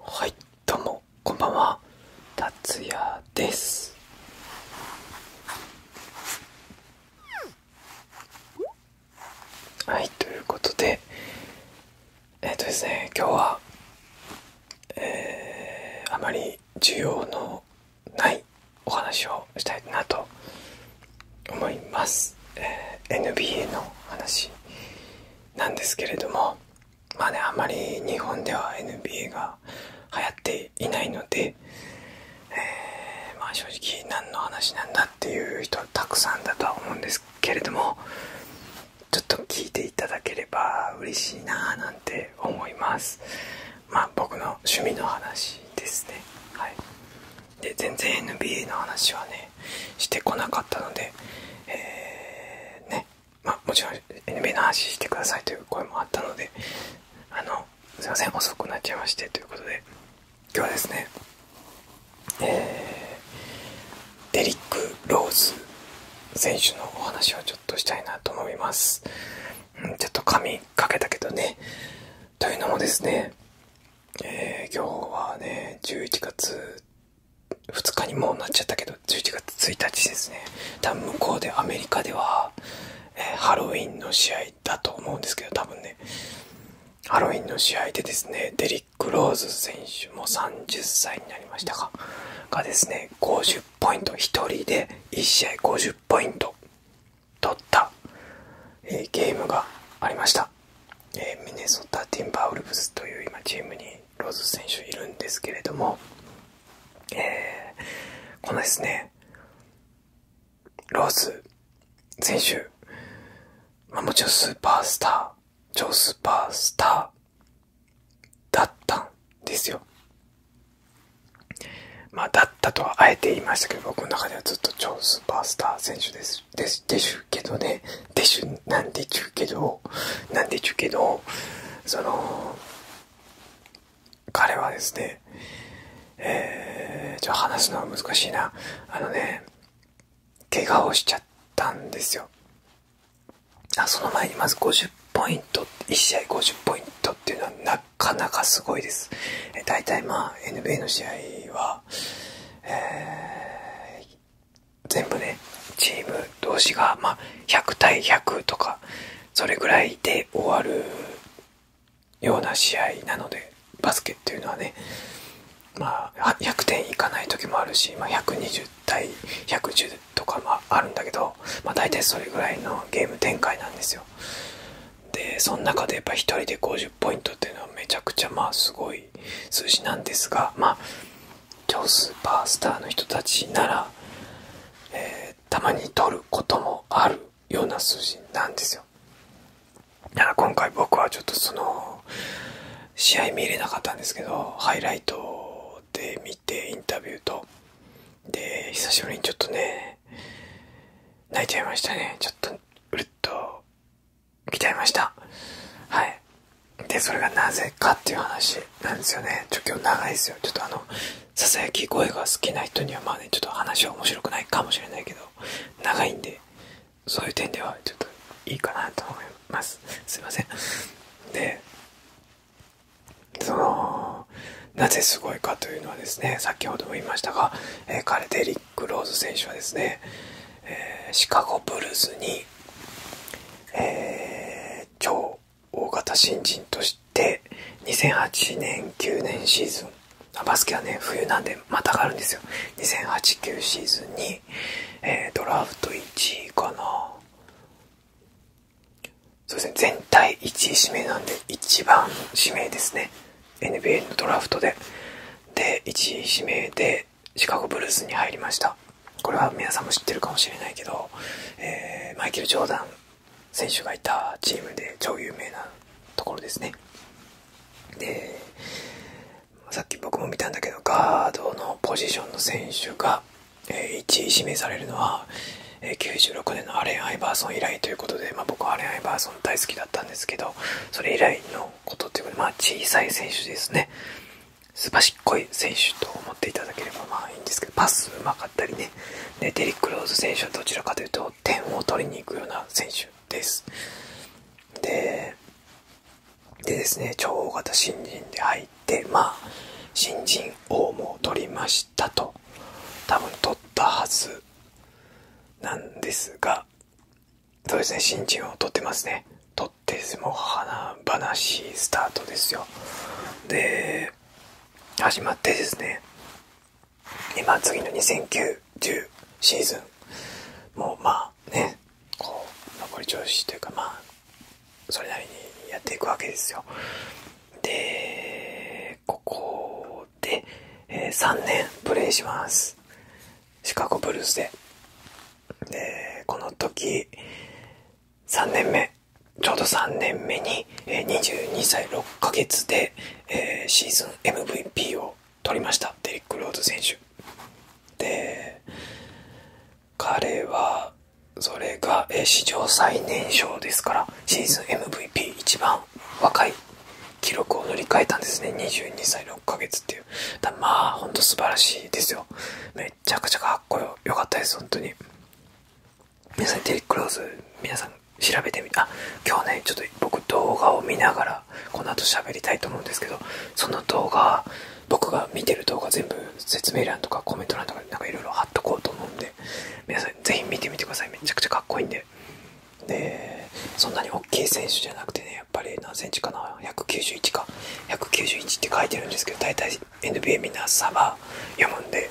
はいどうもこんばんは達也ですはいということでえっ、とですね今日はえー、あまり需要のないお話をしたいなと思います、NBA の話なんですけれどもまあねあまり日本では NBA が流行っていないので、えま正直何の話なんだっていう人はたくさんだとは思うんですけれどもちょっと聞いていただければ嬉しいなぁなんて思いますまあ僕の趣味の話ですねはいで全然 NBA の話はねしてこなかったので、えねまもちろん NBA の話してくださいという声もあったのであのすいません遅くなっちゃいましてということで今日はですね、えデリック・ローズ選手のお話をちょっとしたいなと思います、うん、ちょっと髪かけたけどねというのもですね、え今日はね11月2日にもうなっちゃったけど11月1日ですね多分向こうでアメリカでは、えハロウィンの試合だと思うんですけど多分ねハロウィンの試合でですねデリック・ローズ選手も30歳になりましたかがですね50ポイント1人で1試合50ポイント取った、えゲームがありましたえミネソタ・ティンバウルブスという今チームにローズ選手いるんですけれども、えー、このですねローズ選手、まあ、もちろんスーパースター超スーパースターだったんですよまあだったとはあえて言いましたけど僕の中ではずっと超スーパースター選手ですでしゅけどねんなんでちゅうけどなんでちゅうけどその彼はですねえー、ち話すのは難しいなあのね怪我をしちゃったんですよあその前にまず50ポイント1試合50ポイントっていうのはなかなかすごいです大体まあ NBA の試合は、全部ねチーム同士が、ま100対100とかそれぐらいで終わるような試合なのでバスケっていうのはね、まあ、100点いかない時もあるし、ま120対110とかもあるんだけど、まあ、大体それぐらいのゲーム展開なんですよ。でその中でやっぱ1人で50ポイントっていうのはめちゃくちゃまあすごい数字なんですがまあ超スーパースターの人たちなら、えたまに取ることもあるような数字なんですよだから今回僕はちょっとその試合見れなかったんですけどハイライトで見てインタビューとで久しぶりにちょっとね泣いちゃいましたねちょっとうるっと来ちゃいました。はい。で、それがなぜかっていう話なんですよね。ちょ、今日長いですよ。ちょっとあの、ささやき声が好きな人にはまあね、ちょっと話は面白くないかもしれないけど、長いんで、そういう点ではちょっといいかなと思います。すいません。で、その、なぜすごいかというのはですね、先ほども言いましたが、えー、彼デリックローズ選手はですね、えー、シカゴブルースに、えー、超大型新人として2008年9年シーズンバスケはね冬なんでまた上がるんですよ2008-9シーズンに、えー、ドラフト1位かなそうですね全体1位指名なんで一番指名ですね NBA のドラフトでで1位指名でシカゴブルースに入りましたこれは皆さんも知ってるかもしれないけど、えマイケル・ジョーダン選手がいたチームで超有名なところですねでさっき僕も見たんだけどガードのポジションの選手が1位指名されるのは96年のアレン・アイバーソン以来ということで、ま僕はアレン・アイバーソン大好きだったんですけどそれ以来のことというこまあ、小さい選手ですね。すばしっこい選手と思っていただければまあいいんですけど、パスうまかったりね。で、デリック・ローズ選手はどちらかというと、点を取りに行くような選手です。で、でですね、超大型新人で入って、まあ、新人王も取りましたと、多分取ったはずなんですが、そうですね新人を取ってますね取ってです。もう花話スタートですよで始まってですね今次の2 0 9 0シーズンもうまあねこう残り調子というかまあそれなりにやっていくわけですよでここで、え3年プレイしますシカゴブルースで。で、この時、3年目、ちょうど3年目に、え22歳6ヶ月で、えシーズン MVP を取りました、デリック・ローズ選手。で、彼は、それが、え史上最年少ですから、シーズン MVP 一番若い記録を塗り替えたんですね22歳6ヶ月っていうだまあほんと素晴らしいですよめちゃくちゃかっこよかったです本当に皆さんテリク・ローズ皆さん調べてみてあ今日ねちょっと僕動画を見ながらこの後喋りたいと思うんですけどその動画僕が見てる動画全部説明欄とかコメント欄とかなんかいろいろ貼っとこうと思うんで皆さんぜひ見てみてくださいめちゃくちゃかっこいいんででそんなに大きい選手じゃなくてねやっぱり何センチかな191か191って書いてるんですけど大体 NBA みんな差が読むんで、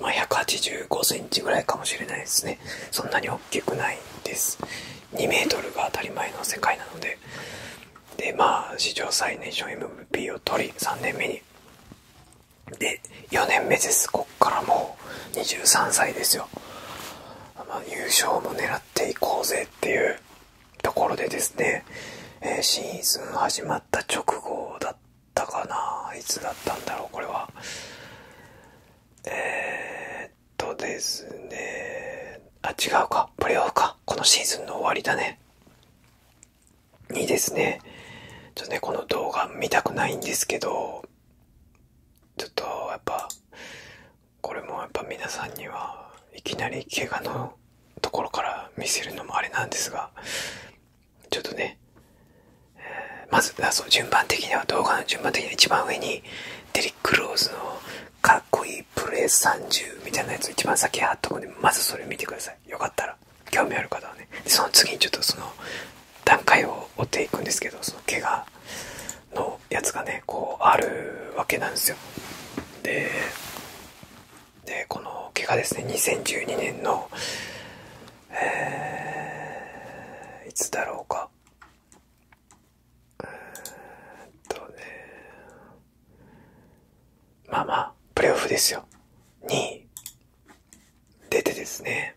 ま185センチぐらいかもしれないですねそんなに大きくないです2メートルが当たり前の世界なのででまあ史上最年少 MVP を取り3年目にで4年目ですこっからもう23歳ですよ、ま優勝ていこうぜっていうところでですね、えシーズン始まった直後だったかないつだったんだろうこれはえっとですねあ違うかプレーオフかこのシーズンの終わりだねにですねちょっとねこの動画見たくないんですけどちょっとやっぱこれもやっぱ皆さんにはいきなり怪我のところから見せるのもあれなんですがちょっとね、まずそう順番的には動画の順番的には一番上にデリック・ローズのかっこいいプレス30みたいなやつを一番先貼っとくんでまずそれ見てくださいよかったら興味ある方はねその次にちょっとその段階を追っていくんですけどその怪我のやつがねこうあるわけなんですよでこの毛がですね2012年のえいつだろうかうー、んとねまあまあプレーオフですよに出てですね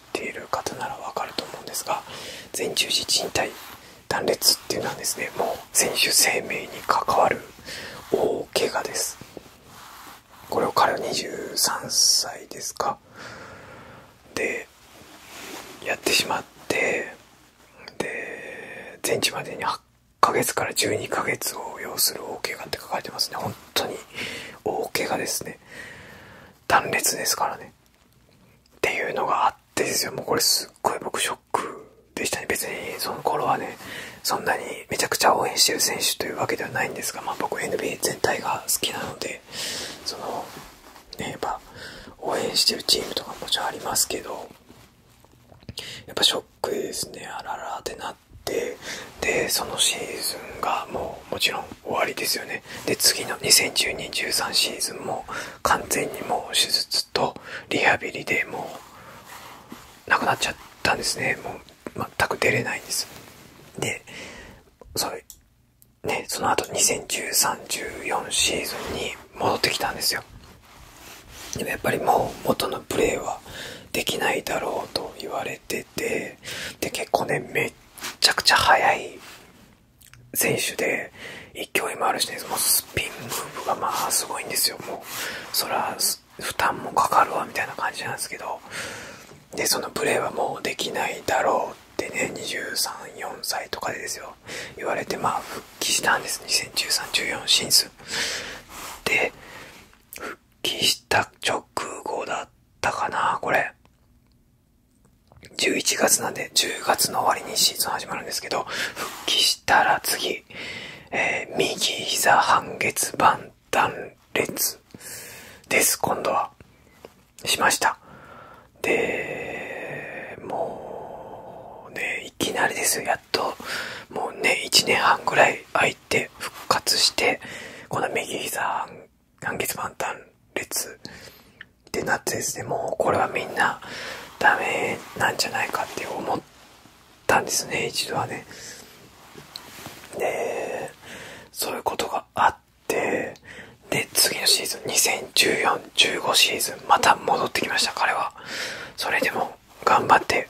知っている方ならわかると思うんですが前十字靭帯断裂っていうのはですねもう選手生命に関わる大怪我ですこれを彼は23歳ですかでやってしまってで全治までに8ヶ月から12ヶ月を要する大怪我って書かれてますね本当に大怪我ですね断裂ですからねっていうのがあってですよもうこれすっごい僕ショックでしたね別にその頃はねそんなにめちゃくちゃ応援してる選手というわけではないんですが、まあ、僕 NBA 全体が好きなのでそのねやっぱ応援してるチームとかもちろんありますけどやっぱショックですねあららってなってでそのシーズンがもうもちろん終わりですよねで次の201213シーズンも完全にもう手術とリハビリでもうなくなっちゃったんですねもう全く出れないんですでそれねその後201314シーズンに戻ってきたんですよでもやっぱりもう元のプレーはできないだろうと言われててで結構ねめっちゃくちゃ速い選手で勢いもあるしねもうスピンムーブがまあすごいんですよもうそら負担もかかるわみたいな感じなんですけどでそのプレーはもうできないだろうってね234歳とかでですよ言われてま復帰したんです201314シーズで復帰した直後だったかなこれ11月なんで、10月の終わりにシーズン始まるんですけど、復帰したら次、えー、右膝半月板断裂です、今度は。しました。で、もう、ね、いきなりですよ、やっと。もうね、1年半ぐらい空いて復活して、この右膝完結版単列ってなってですねもうこれはみんなダメなんじゃないかって思ったんですね一度はねでそういうことがあってで次のシーズン201415シーズンまた戻ってきました彼はそれでも頑張って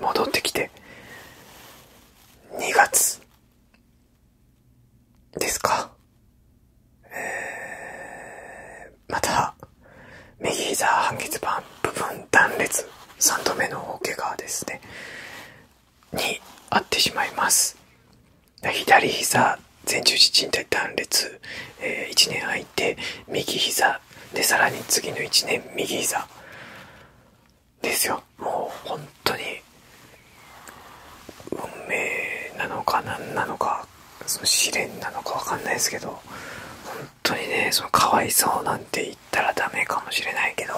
戻ってきて2月ですか。えまた、右膝半月板部分断裂、3度目の大怪我ですね、にあってしまいます。左膝前十字靭帯断裂、え1年空いて右膝でさらに次の1年右膝ですよもう本当に運命なのか何なのかその試練なのか分かんないですけど本当にねそのかわいそうなんて言ったらダメかもしれないけど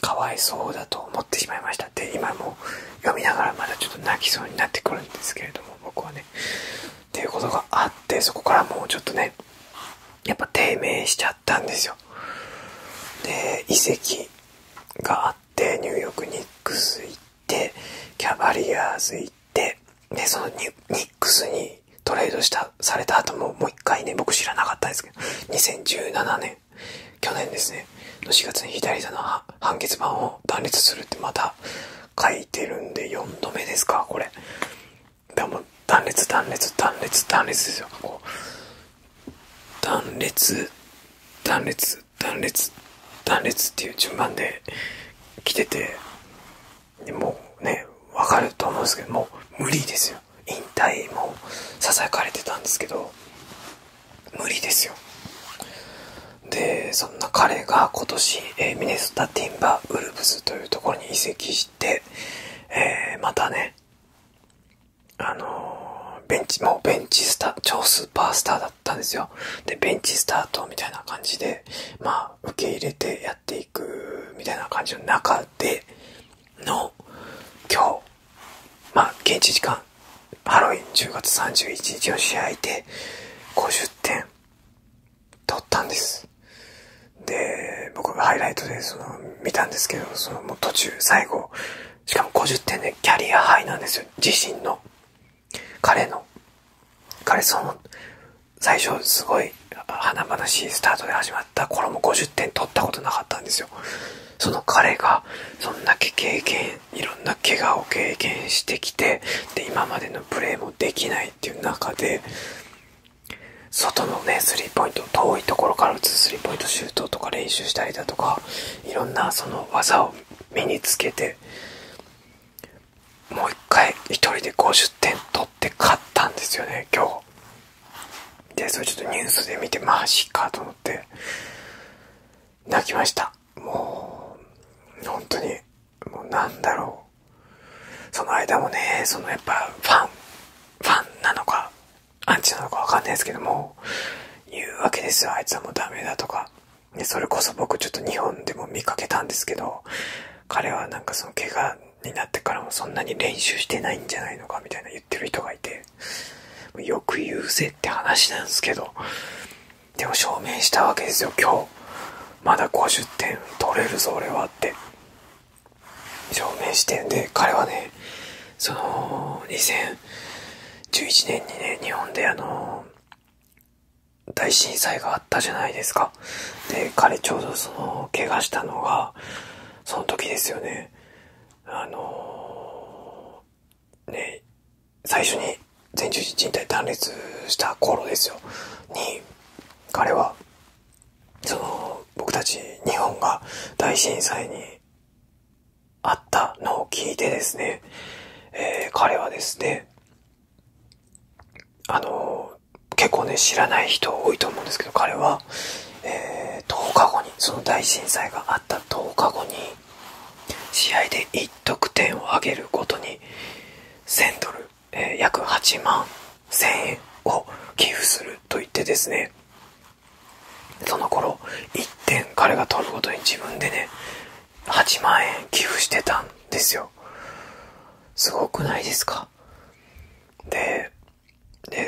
かわいそうだと思ってしまいましたって今も読みながらまだちょっと泣きそうになってくるんですけれども僕はねっていうことがあってそこからもうちょっとねやっぱ低迷しちゃったんですよで遺跡があっっニューヨークニックス行ってキャバリアーズ行ってでそのニックスにトレードしたされた後ももう一回ね僕知らなかったですけど2017年去年ですねの4月に左手の半月板を断裂するってまた書いてるんで4度目ですかこれでも断裂断裂断裂断裂ですよこう断裂断裂断裂断裂っていう順番で来ててでもうね分かると思うんですけどもう無理ですよ引退もささやかれてたんですけど無理ですよでそんな彼が今年、えミネソタ・ティンバウルブスというところに移籍して、えまたねあのベンチ、もうベンチスター、超スーパースターだったんですよ。で、ベンチスタートみたいな感じで、まあ、受け入れてやっていくみたいな感じの中での、今日、まあ、現地時間、ハロウィン10月31日の試合で、50点、取ったんです。で、僕がハイライトで、その、見たんですけど、その、もう途中、最後、しかも50点でキャリアハイなんですよ自身の彼の彼その最初すごい華々しいスタートで始まった頃も50点取ったことなかったんですよその彼がそんだけ経験いろんな怪我を経験してきてで今までのプレーもできないっていう中で外のねスリーポイント遠いところから打つスリーポイントシュートとか練習したりだとかいろんなその技を身につけてもう1回1人で50点取って勝ったんですよね今日でそれちょっとニュースで見てマジかと思って泣きましたもう本当にもうなんだろうその間もねそのやっぱファンファンなのかアンチなのかわかんないですけども、言うわけですよ。あいつはもうだめだとか。で、それこそ僕ちょっと日本でも見かけたんですけど、彼はなんかその怪我になってからもそんなに練習してないんじゃないのかみたいな言ってる人がいて、よく言うぜって話なんですけど、でも証明したわけですよ、今日。まだ50点取れるぞ、俺はって。証明してんで彼はねその2011年にね日本であの大震災があったじゃないですかで彼ちょうどその怪我したのがその時ですよねあのね最初に全十字靭断裂した頃ですよに彼はその僕たち日本が大震災にあったのを聞いてですね、え彼はですね、あの結構ね、知らない人多いと思うんですけど、彼は、え10日後に、その大震災があった10日後に、試合で1得点を挙げるごとに、1000ドル、え約8万1000円を寄付すると言ってですね、その頃1点彼が取るごとに自分でね8万円寄付してたんですよすごくないですかで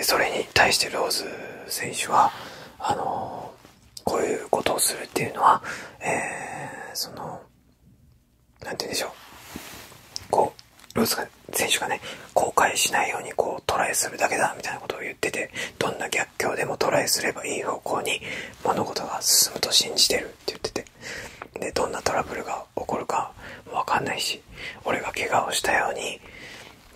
それに対してローズ選手はあのこういうことをするっていうのはえその何て言うんでしょうこう！ロス選手がね後悔しないようにこうトライするだけだみたいなことを言っててどんな逆境でもトライすればいい方向に物事が進むと信じてるって言っててでどんなトラブルが起こるか分かんないし俺が怪我をしたように、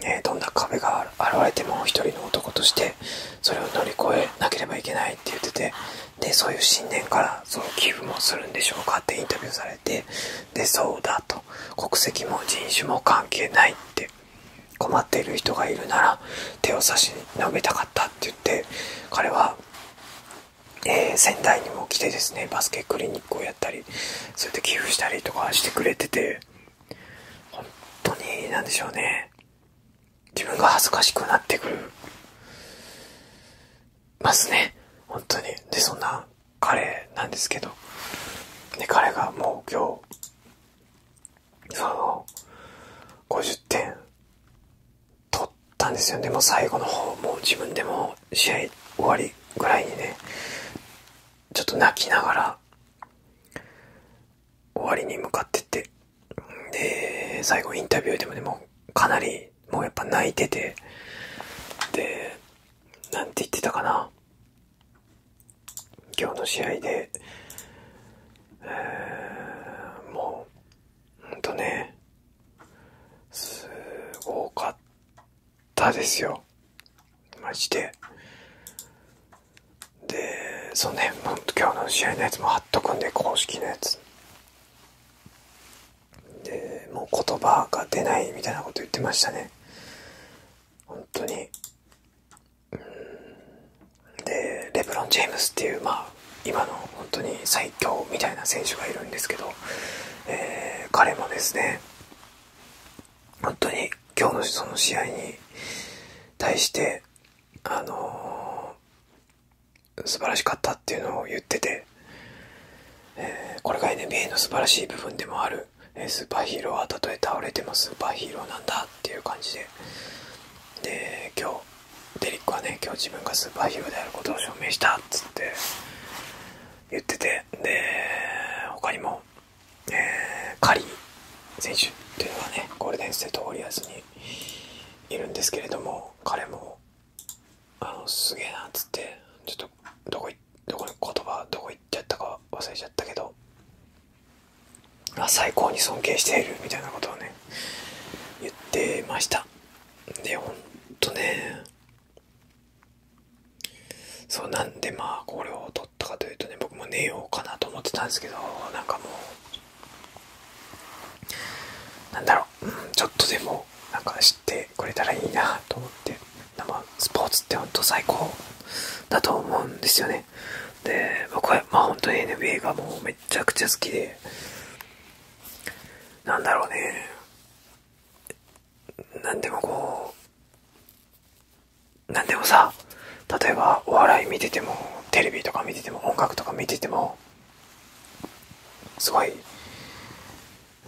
えどんな壁が現れても1人の男としてそれを乗り越えなければいけないって言っててでそういう信念からその寄付もするんでしょうかってインタビューされてでそうだと。国籍も人種も関係ないって困っている人がいるなら手を差し伸べたかったって言って彼は、え仙台にも来てですねバスケクリニックをやったりそうやって寄付したりとかしてくれてて本当に何でしょうね自分が恥ずかしくなってくるますね本当にでそんな彼なんですけど、で彼がもう今日、その、50点取ったんですよね。もう最後の方、もう自分でも試合終わりぐらいにね、ちょっと泣きながら、終わりに向かってって、で、最後インタビューでもでもうかなり、もうやっぱ泣いてて、で、なんて言ってたかな。今日の試合で、えもう、ほんとね、すごかったですよ。マジで。で、そうね、ほんと今日の試合のやつも貼っとくんで、公式のやつ。で、もう言葉が出ないみたいなこと言ってましたね。本当にでレブロン・ジェームスっていうまあ今の本当に最強みたいな選手がいるんですけど、え彼もですね本当に今日のその試合に対してあの素晴らしかったっていうのを言ってて、えこれが NBA の素晴らしい部分でもあるえスーパーヒーローはたとえ倒れてもスーパーヒーローなんだっていう感じでで今日デリックはね今日自分がスーパーヒーローであることを証明したっつって言っててで他にも、えー、カリー選手っていうのがねゴールデンステートウォリアーズにいるんですけれども彼もあのすげえなっつってちょっとどこどこに言葉どこ行っちゃったか忘れちゃったけどあ最高に尊敬しているみたいなことをね言ってましたでほんとねそうなんでまあこれを取ったかというとね僕も寝ようかなと思ってたんですけどなんかもうなんだろう、うん、ちょっとでもなんかし知っれたらいいなと思ってスポーツって本当最高だと思うんですよねで僕はまあ本当に NBA がもうめちゃくちゃ好きでなんだろうね何でもこう何でもさ例えばお笑い見ててもテレビとか見てても音楽とか見ててもすごい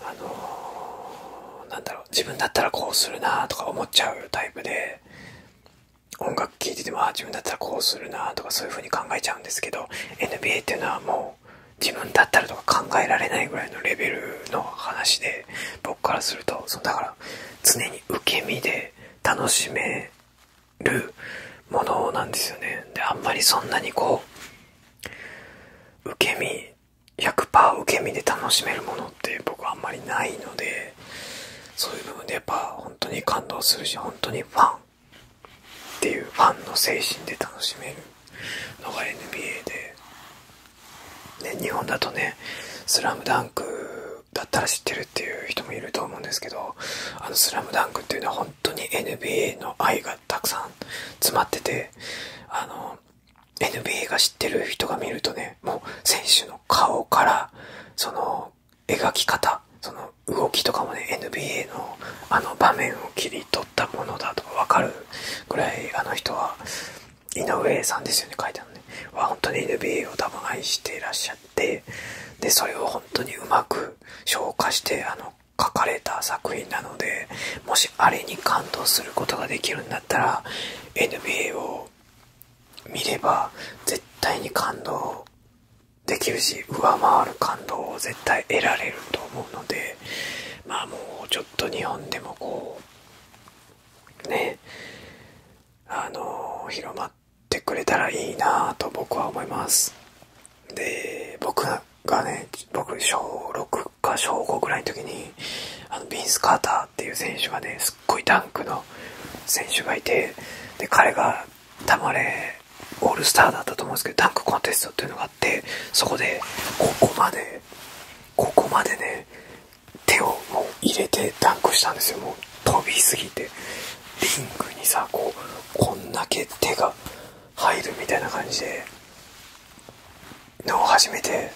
あのなんだろう自分だったらこうするなとか思っちゃうタイプで音楽聴いててもあ自分だったらこうするなとかそういう風に考えちゃうんですけど NBA っていうのはもう自分だったらとか考えられないぐらいのレベルの話で僕からするとそのだから常に受け身で楽しめるものなんですよねであんまりそんなにこう受け身100%受け身で楽しめるものって僕あんまりないのでそういう部分でやっぱ本当に感動するし本当にファンっていうファンの精神で楽しめるのが NBA で、ね、日本だとね「スラムダンクだったら知ってるっていう人もいると思うんですけど「あのスラムダンクっていうのは本当に NBA の愛がたくさん詰まっててあの NBA が知ってる人が見るとねもう選手の顔からその描き方その動きとかもね NBA のあの場面を切り取ったものだとか分かるぐらいあの人は井上さんですよね書いてあるねは本当に NBA を多分愛していらっしゃってでそれを本当にうまく消化してあの書かれた作品なのでもしあれに感動することができるんだったら NBA を見れば絶対に感動できるし上回る感動を絶対得られると思うのでまあもうちょっと日本でもこうねあの広まってくれたらいいなと僕は思いますで僕がね僕小6か小5ぐらいの時にあのビンス・カーターっていう選手がねすっごいダンクの選手がいてで彼がたまれオールスターだったと思うんですけどダンクコンテストっていうのがあってそこでここまでここまでね手をもう入れてダンクしたんですよもう飛びすぎてリングにさこうこんだけ手が入るみたいな感じでのを初めて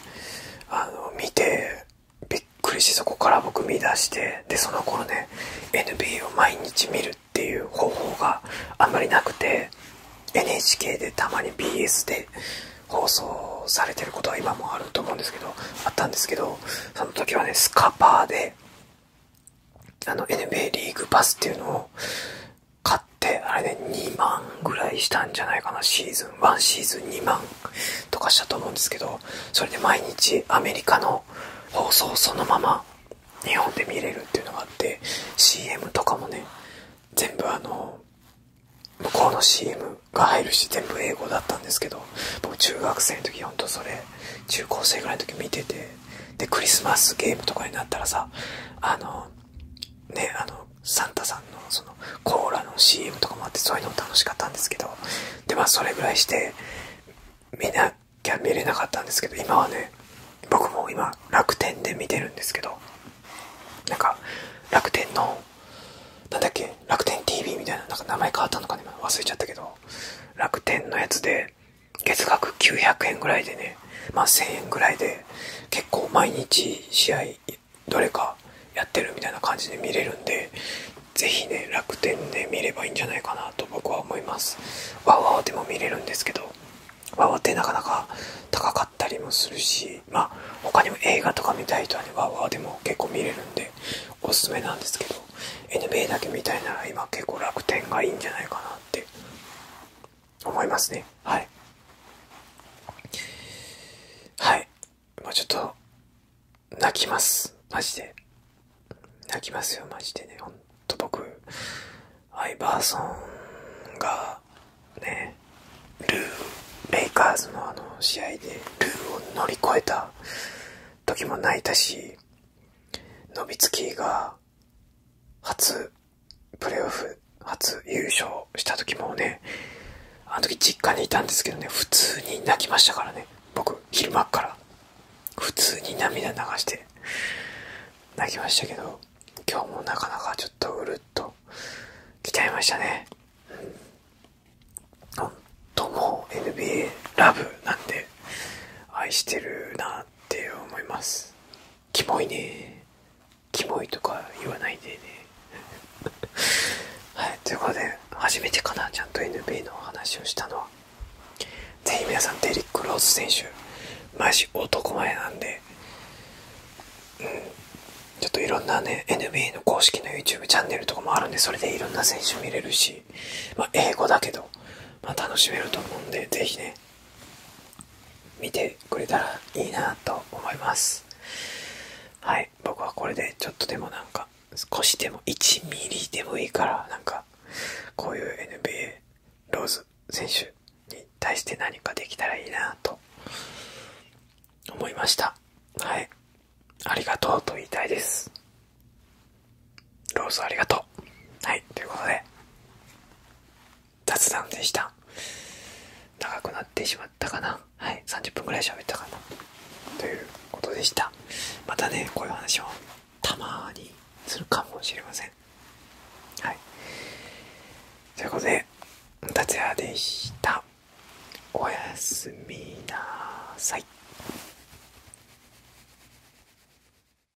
あの見てびっくりしてそこから僕見出してでその頃ね NBA を毎日見るっていう方法があんまりなくて NHK でたまに BS で放送されてることは今もあると思うんですけどあったんですけどその時はねスカパーであの NBA リーグパスっていうのを買ってあれで2万ぐらいしたんじゃないかなシーズン1シーズン2万とかしたと思うんですけどそれで毎日アメリカの放送そのまま日本で見れるっていうのがあって CM とかもね全部あの向こうの CM が入るし全部英語だったんですけど僕中学生の時ほんとそれ中高生ぐらいの時見ててでクリスマスゲームとかになったらさあのねあのサンタさんのそのコーラの CM とかもあってそういうの楽しかったんですけどでまそれぐらいして見なきゃ見れなかったんですけど今はね僕も今楽天で見てるんですけどなんか楽天の何だっけ楽天 TV みたいななんか名前変わったのかね忘れちゃったけど楽天のやつで月額900円ぐらいでね、ま1000円ぐらいで結構毎日試合どれかやってるみたいな感じで見れるんで、ぜひね、楽天で見ればいいんじゃないかなと僕は思います。わわわでも見れるんですけど、わわってなかなか高かったりもするし、まあ他にも映画とか見たい人はね、わわでも結構見れるんで、おすすめなんですけど、NBA だけ見たいなら今結構楽天がいいんじゃないかなって思いますねはいはいもうちょっと泣きますマジで泣きますよマジでねほんと僕アイバーソンがねルーレイカーズのあの試合でルーを乗り越えた時も泣いたし伸びつきが初プレーオフ初優勝した時もねあの時実家にいたんですけどね普通に泣きましたからね僕昼間っから普通に涙流して泣きましたけど今日もなかなかちょっとうるっときちゃいましたねうん本当も NBA ラブなんで愛してるなって思いますキモいねキモいとか言わないでね はいということで初めてかなちゃんと NBA の話をしたのはぜひ皆さんデリック・ローズ選手マジ男前なんでうんちょっといろんなね NBA の公式の YouTube チャンネルとかもあるんでそれでいろんな選手見れるしま英語だけどま楽しめると思うんでぜひね見てくれたらいいなと思いますはい僕はこれでちょっとでもなんか少しでも1ミリでもいいからなんかこういう NBA ローズ選手に対して何かできたらいいなと思いましたはいありがとうと言いたいですローズありがとう。はい、ということで、雑談でした。長くなってしまったかな。はい、30分ぐらい喋ったかな。ということでした。またね、こういう話をたまにするかもしれません。はい。ということで、達也でした。おやすみなさい。